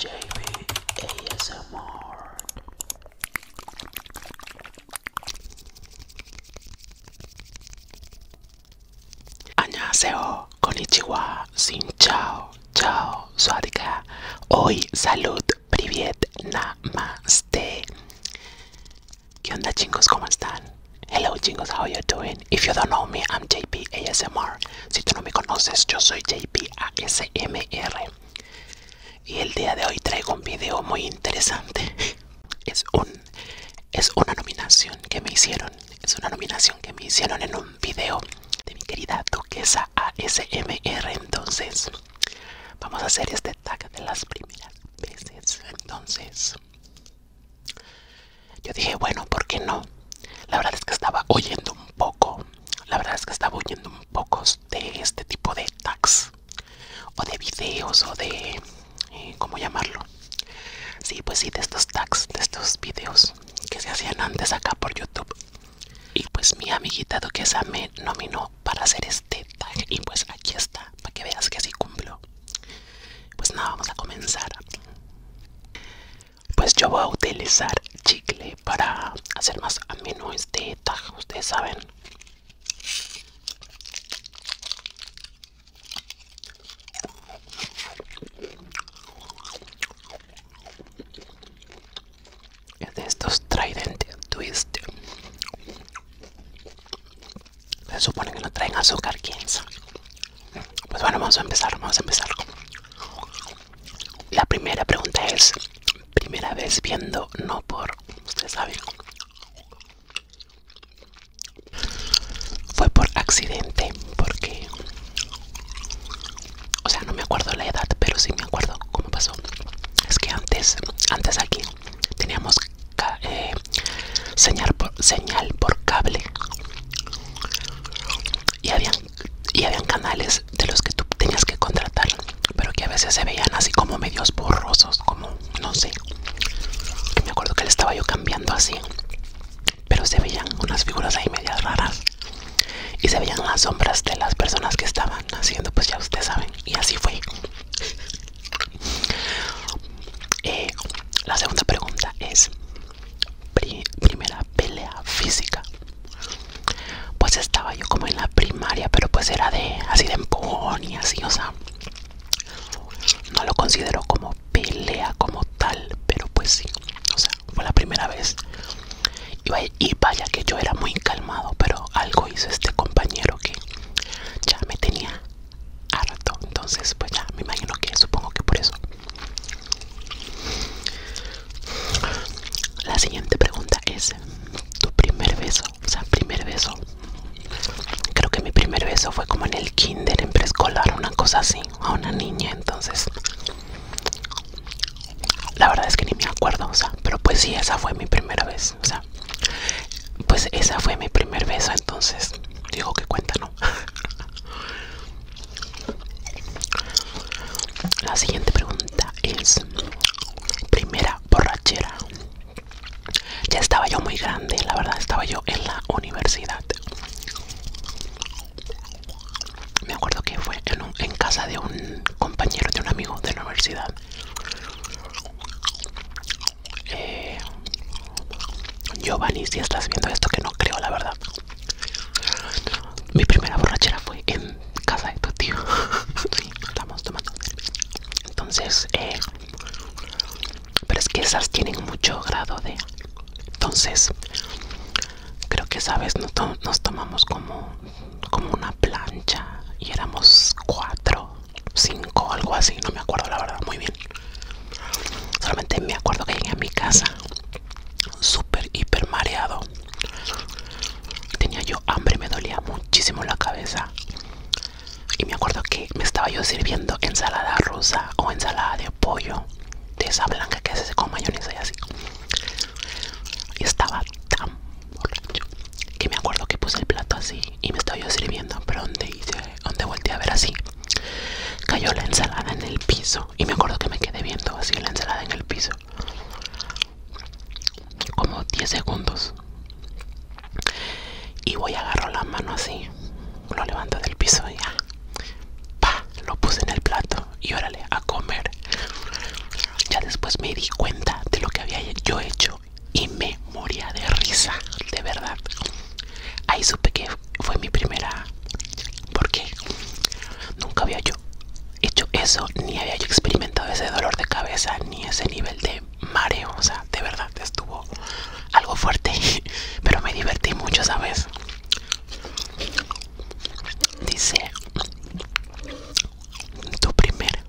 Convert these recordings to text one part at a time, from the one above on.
JB ASMR Añaseo, konichiwa, sin chao, chao, suadika. Hoy, salud, privet, namaste. ¿Qué onda chicos? ¿Cómo están? Hello chingos! how you doing? If you don't know me, I'm JP Si tú no me conoces, yo soy JP ASMR. Y el día de hoy traigo un video muy interesante. Es un es una nominación que me hicieron. Es una nominación que me hicieron en un video de mi querida duquesa ASMR. Entonces, vamos a hacer este tag de las primeras veces. Entonces, yo dije, bueno, porque no? La verdad es que estaba oyendo un poco, la verdad es que estaba oyendo un poco de este tipo de tags o de videos o de, eh, ¿cómo llamarlo? Sí, pues sí, de estos tags, de estos videos que se hacían antes acá por YouTube. Y pues mi amiguita Duquesa me nominó para hacer este tag y pues aquí está, para que veas que así cumplo. Pues nada, vamos a comenzar. Pues yo voy a utilizar chicle para hacer más ameno este tajo. ustedes saben. de estos Trident Twist se supone que no traen azúcar, quién sabe. Pues bueno, vamos a empezar, vamos a empezar. La primera pregunta es, primera vez viendo, no por, ustedes saben. Fue por accidente, porque... O sea, no me acuerdo la edad, pero sí me acuerdo cómo pasó. Es que antes, antes aquí, teníamos eh, señal, por, señal por cable y habían, canales de los que tú tenías que contratar pero que a veces se veían así como medios borrosos como no sé me acuerdo que le estaba yo cambiando así pero se veían unas figuras ahí medias raras y se veían las sombras de las personas que estaban haciendo pues ya ustedes saben y así fue eh, la segunda pregunta es primera pelea física pues estaba yo como en la primaria pero pues era de así de empujón y así o sea no lo considero como pelea como tal pero pues sí o sea fue la primera vez y vaya que yo era muy calmado pero algo hizo este compañero que ya me tenía harto, entonces pues ya me imagino que supongo que por eso la siguiente pregunta es tu primer beso o sea primer beso creo que mi primer beso fue como en el kinder en preescolar una cosa así a una niña entonces la verdad es que ni me acuerdo o sea pero pues sí esa fue mi primera vez o sea pues esa fue mi primer beso entonces digo que cuenta la siguiente pregunta es primera borrachera. Ya estaba yo muy grande, la verdad estaba yo en la universidad. Me acuerdo que fue en, en casa de un compañero, de un amigo de la universidad. Eh, Giovanni, si estás viendo esto, que no creo, la verdad. Mi primera borrachera fue en casa de tu tío. estamos tomando. Entonces, eh, pero es que esas tienen mucho grado de. Entonces, creo que, ¿sabes? Nos, nos tomamos como, como una plancha y éramos cuatro, cinco, algo así, no me acuerdo la verdad, muy bien. Solamente me acuerdo que llegué a mi casa super hiper mareado. Tenía yo hambre, me dolía muchísimo la cabeza. Y me acuerdo que me estaba yo sirviendo ensalada rusa o ensalada de pollo, de esa blanca que con mayonesa y así. Y estaba tan borracho que me acuerdo que puse el plato así y me estaba yo sirviendo, pero hice donde volteé a ver así. Cayó la ensalada en el piso. Y me acuerdo que me quedé viendo así la ensalada en el piso. Como 10 segundos. Y voy a agarrar la mano así. Lo levanto del piso y ya. Pa, lo puse en el plato. Y órale, a comer. Ya después me di cuenta de lo que había yo hecho. Y me moría de risa, de verdad. Ahí supe que fue mi primera porque nunca había yo hecho eso ni había yo experimentado ese dolor de cabeza ni ese nivel de mareo o sea de verdad estuvo algo fuerte pero me divertí mucho sabes dice tu primer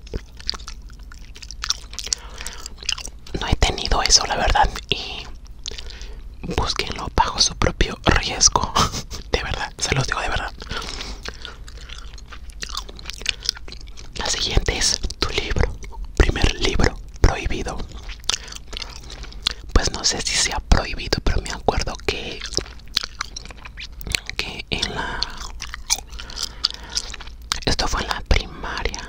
no he tenido eso la verdad y Búsquenlo bajo su propio riesgo. De verdad, se los digo de verdad. La siguiente es tu libro. Primer libro prohibido. Pues no sé si sea prohibido, pero me acuerdo que que en la esto fue en la primaria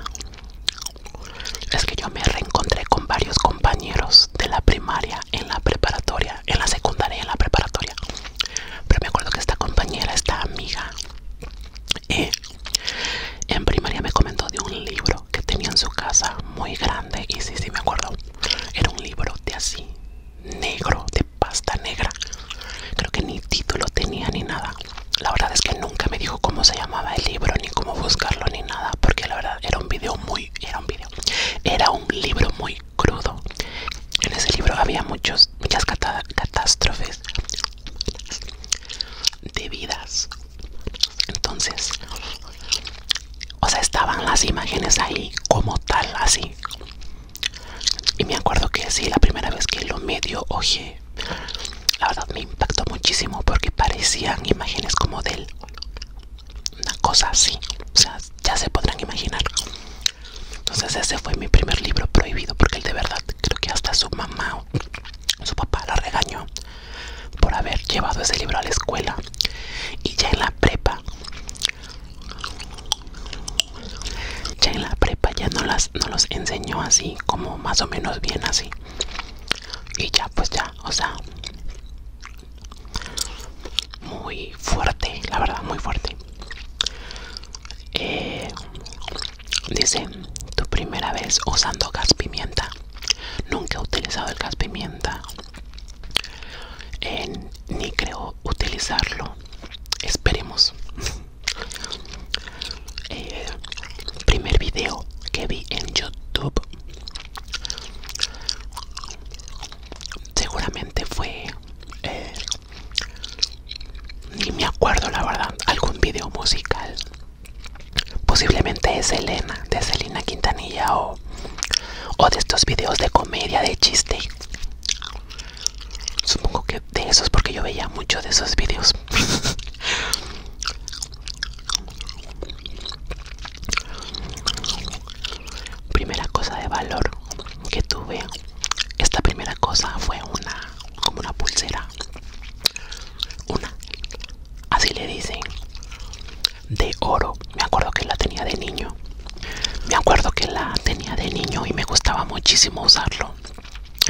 es que yo me reencontré con varios compañeros de la primaria, en la preparatoria, en la secundaria en la preparatoria. Pero me acuerdo que esta compañera, esta amiga, eh, en primaria me comentó de un libro que tenía en su casa muy grande. Y si, sí, me acuerdo. Era un libro de así, negro, de pasta negra. Creo que ni título tenía ni nada. La verdad es que nunca me dijo cómo se llamaba el libro, ni cómo buscarlo, ni nada, porque la verdad era un vídeo muy era un vídeo era un libro muy crudo en ese libro había muchos muchas catástrofes de vidas entonces o sea estaban las imágenes ahí como tal así y me acuerdo que sí la primera vez que lo medio oje la verdad me impactó muchísimo porque parecían imágenes como del una cosa así, o sea, ya se podrán imaginar. Entonces ese fue mi primer libro prohibido porque él de verdad creo que hasta su mamá o su papá la regañó por haber llevado ese libro a la escuela y ya en la prepa ya en la prepa ya no las no los enseñó así como más o menos bien así y ya pues ya o sea muy fuerte la verdad muy fuerte eh, dice tu primera vez usando gas pimienta nunca he utilizado el gas pimienta eh, ni creo utilizarlo esperemos eh, primer video que vi en youtube Seguramente fue... Eh, ni me acuerdo la verdad, algún video musical. Posiblemente es Elena de Selena Quintanilla o, de estos videos de comedia, de chiste. Supongo que de esos porque yo veía mucho de esos videos. Primera cosa de valor que tuve. Esta primera cosa fue una como una pulsera. Una. Así le dicen. De oro. Me acuerdo que la tenía de niño. Me acuerdo que la tenía de niño y me gustaba muchísimo usarlo.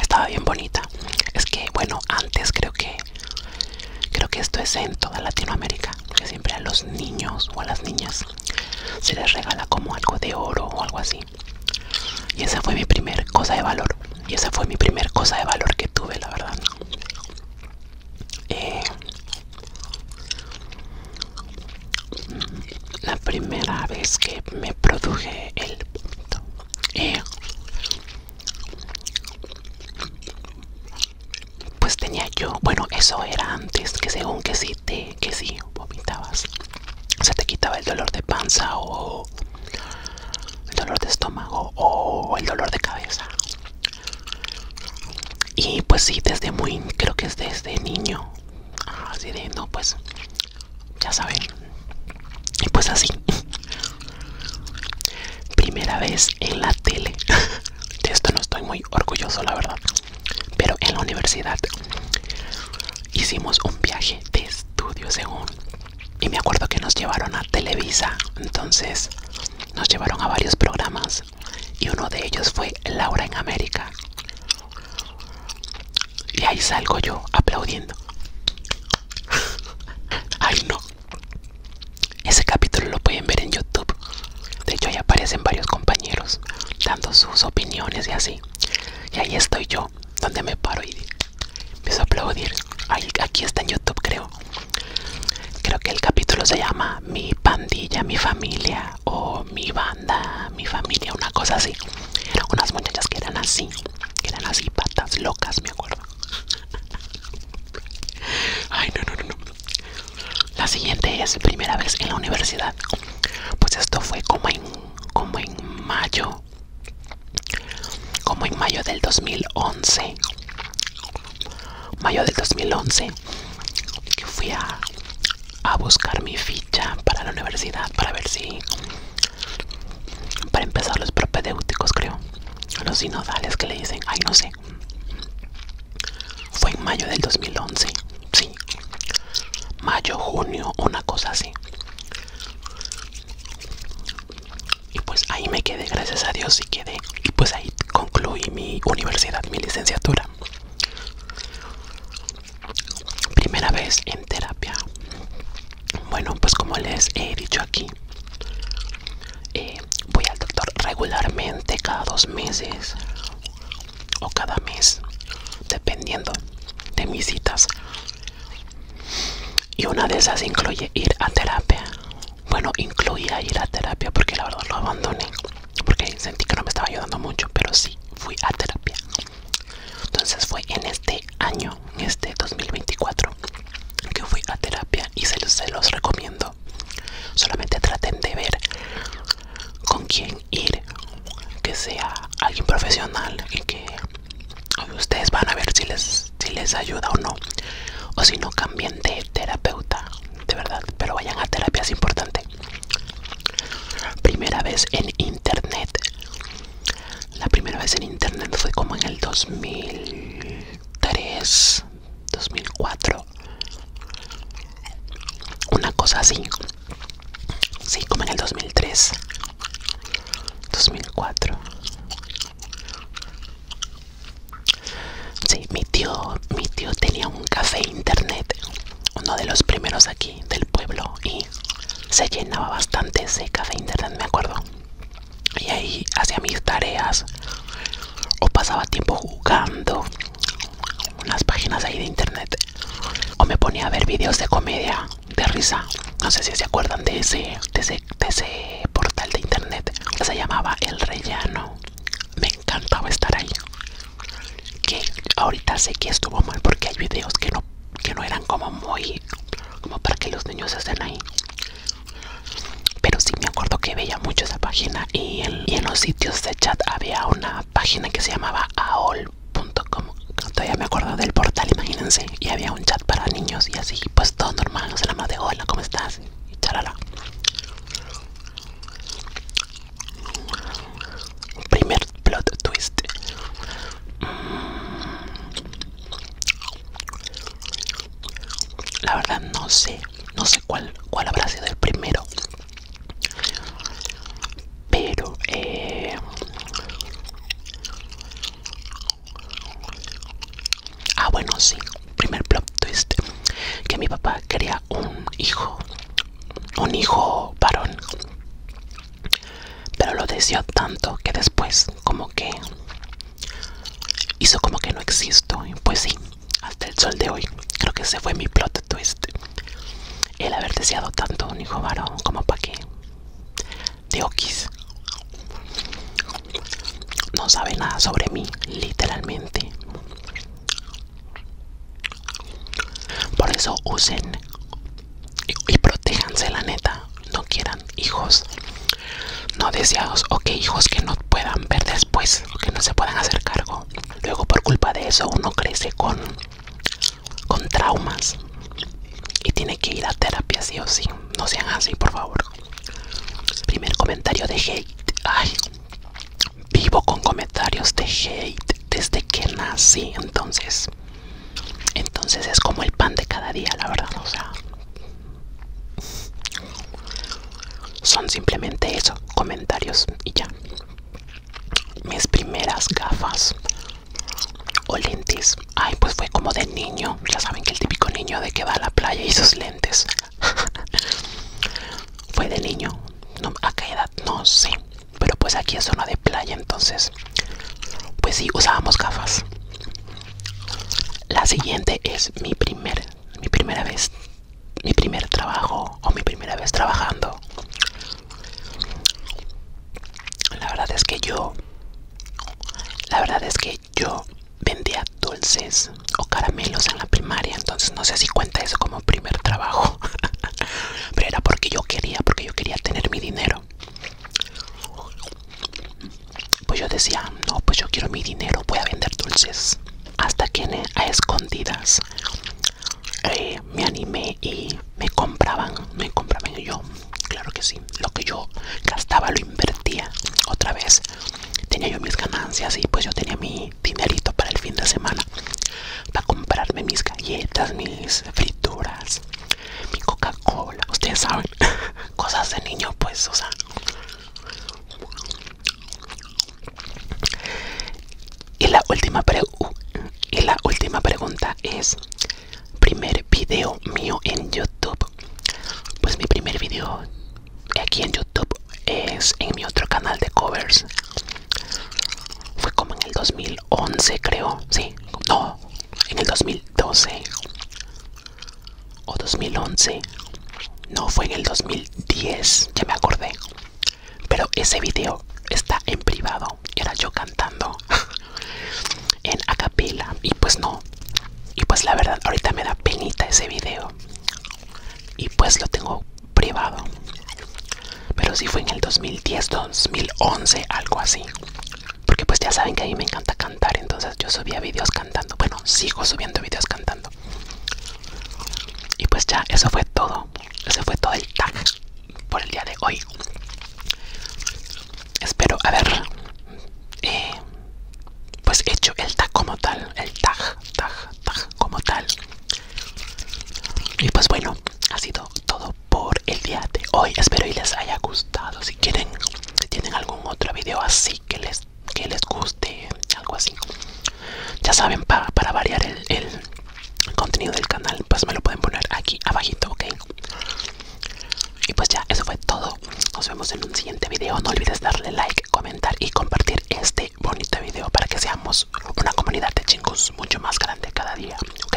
Estaba bien bonita. Es que bueno, antes creo que Creo que esto es en toda Latinoamérica, que siempre a los niños o a las niñas se les regala como algo de oro o algo así. Y esa fue mi primer cosa de valor. Y esa fue mi primer cosa de valor que tuve, la verdad. Eh, la primera vez que me produje el... Eh, pues tenía yo, bueno, eso era antes, que según que si te, que sí vomitabas, se te quitaba el dolor de panza o el dolor de estómago o el dolor de cabeza. Y pues sí, desde muy, creo que es desde niño, así de, no, pues, ya saben, y pues así, Primera vez en la tele. De esto no estoy muy orgulloso, la verdad. Pero en la universidad hicimos un viaje de estudio, según. Y me acuerdo que nos llevaron a Televisa. Entonces nos llevaron a varios programas. Y uno de ellos fue Laura en América. Y ahí salgo yo aplaudiendo. Ay no, ese capítulo lo pueden ver en YouTube. De hecho, ahí aparecen varios compañeros dando sus opiniones y así. Y ahí estoy yo, donde me paro y empiezo a aplaudir. aquí está en YouTube, creo. Creo que el capítulo se llama Mi pandilla, mi familia o mi banda, mi familia, una cosa así. Unas muchachas que eran así, que eran así, patas locas, me acuerdo. Ay, no, no, no, no. La siguiente es primera vez en la universidad. Pues esto fue como en, como en mayo. Como en mayo del 2011. Mayo del 2011. Que fui a, a buscar mi ficha para la universidad. Para ver si... Para empezar los propedéuticos, creo. Los sinodales que le dicen. Ay, no sé. Fue en mayo del 2011, sí. Mayo, junio, una cosa así. Y pues ahí me quedé, gracias a Dios, y quedé. Y pues ahí concluí mi universidad, mi licenciatura. Primera vez en terapia. Bueno, pues como les he dicho aquí, eh, voy al doctor regularmente cada dos meses o cada mes dependiendo de mis citas y una de esas incluye ir a terapia bueno incluía ir a terapia porque la verdad lo abandoné porque sentí que no me estaba ayudando mucho pero sí fui a terapia entonces fue en este año en este 2024 que fui a terapia y se los recomiendo Solamente traten de ver con quién ir, que sea alguien profesional y que ustedes van a ver si les, si les ayuda o no. O si no, cambien de terapeuta, de verdad, pero vayan a terapia, es importante. Primera vez en internet. La primera vez en internet fue como en el 2003, 2004 una cosa así sí como en el 2003 2004 sí mi tío mi tío tenía un café internet uno de los primeros aquí del pueblo y se llenaba bastante ese café internet me acuerdo y ahí hacía mis tareas o pasaba tiempo jugando unas páginas ahí de internet o me ponía a ver vídeos de comedia de risa no sé si se acuerdan de ese ese, portal de internet se llamaba el rellano me encantaba estar ahí que ahorita sé que estuvo mal porque hay vídeos que no que no eran como muy como para que los niños estén ahí pero sí me acuerdo que veía mucho esa página y en, los sitios de chat había una página que se llamaba aol.com. Todavía me acuerdo del portal, imagínense. Y había un chat para niños y así, pues todo normal, no la más de hola, ¿cómo estás? Y charala. Primer plot twist. Mm. La verdad no sé no sé cuál, cuál habrá sido el primero. Pero, eh, ah, bueno, sí, primer plot twist: que mi papá quería un hijo, un hijo varón, pero lo deseó tanto que después, como que hizo como que no existo. Pues sí, hasta el sol de hoy. Creo que ese fue mi plot twist. El haber deseado tanto un hijo varón como para que de no sabe nada sobre mí, literalmente. Por eso usen y, protejanse protéjanse, la neta. No quieran hijos no deseados o que hijos que no puedan ver después que no se puedan hacer cargo. Luego por culpa de eso uno crece con, con traumas y tiene que ir a terapia sí o sí. No sean así, por favor. Primer comentario de hate. Ay, vivo con comentarios de hate desde que nací. Entonces, entonces es como el pan de cada día, la verdad. O sea, son simplemente eso, comentarios y ya. Mis primeras gafas o lentes, ay, pues fue como de niño, ya saben que el típico niño de que va a la playa y sus lentes. fue de niño, a qué edad, no sé, pero pues aquí es zona de playa, entonces, pues sí, usábamos gafas. La siguiente es mi primera mi primera vez mi primer trabajo o mi primera vez trabajando. La verdad es que yo, la verdad es que yo vendía dulces o caramelos en la primaria, entonces no sé si cuenta eso como primer trabajo, pero era porque yo quería, porque yo quería tener mi dinero. Pues yo decía, no, pues yo quiero mi dinero, voy a vender dulces hasta que a escondidas eh, me animé y me compraban, me compraban yo, claro que sí, lo que yo gastaba lo invertía otra vez, tenía yo mis ganancias y pues yo tenía mi dinerito para el fin de semana, para comprarme mis galletas, mis frituras, mi Coca-Cola, ustedes saben, cosas de niño pues, o sea, y la última, y la última pregunta es, primer video mío en YouTube. Pues mi primer video aquí en YouTube es en mi otro canal de covers. Fue como en el 2011 creo, sí, no, en el 2012 o 2011. No, fue en el 2010, ya me acordé. Pero ese video está en privado era yo cantando en acapella y pues no. Y pues la verdad ahorita me da penita ese video. Y pues lo tengo privado. Pero si fue en el 2010, 2011, algo así. Porque pues ya saben que a mí me encanta cantar, entonces yo subía videos cantando. Bueno, sigo subiendo videos cantando. Y pues ya, eso fue todo. eso fue todo el tag por el día de hoy. Espero haber eh, pues hecho el tag como tal. El tag, tag, tag como tal. Y pues bueno, ha sido todo por el día de hoy. Espero y les haya gustado. Si quieren, si tienen algún otro video así que les que les guste, algo así. Ya saben, para variar el, contenido del canal, pues me lo pueden poner aquí abajito, ¿ok? Y pues ya, eso fue todo. Nos vemos en un siguiente video. No olvides darle like, comentar y compartir este bonito video para que seamos una comunidad de chicos mucho más grande cada día, ¿ok?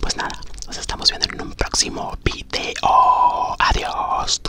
Pues nada, nos estamos viendo en un próximo video. Adiós.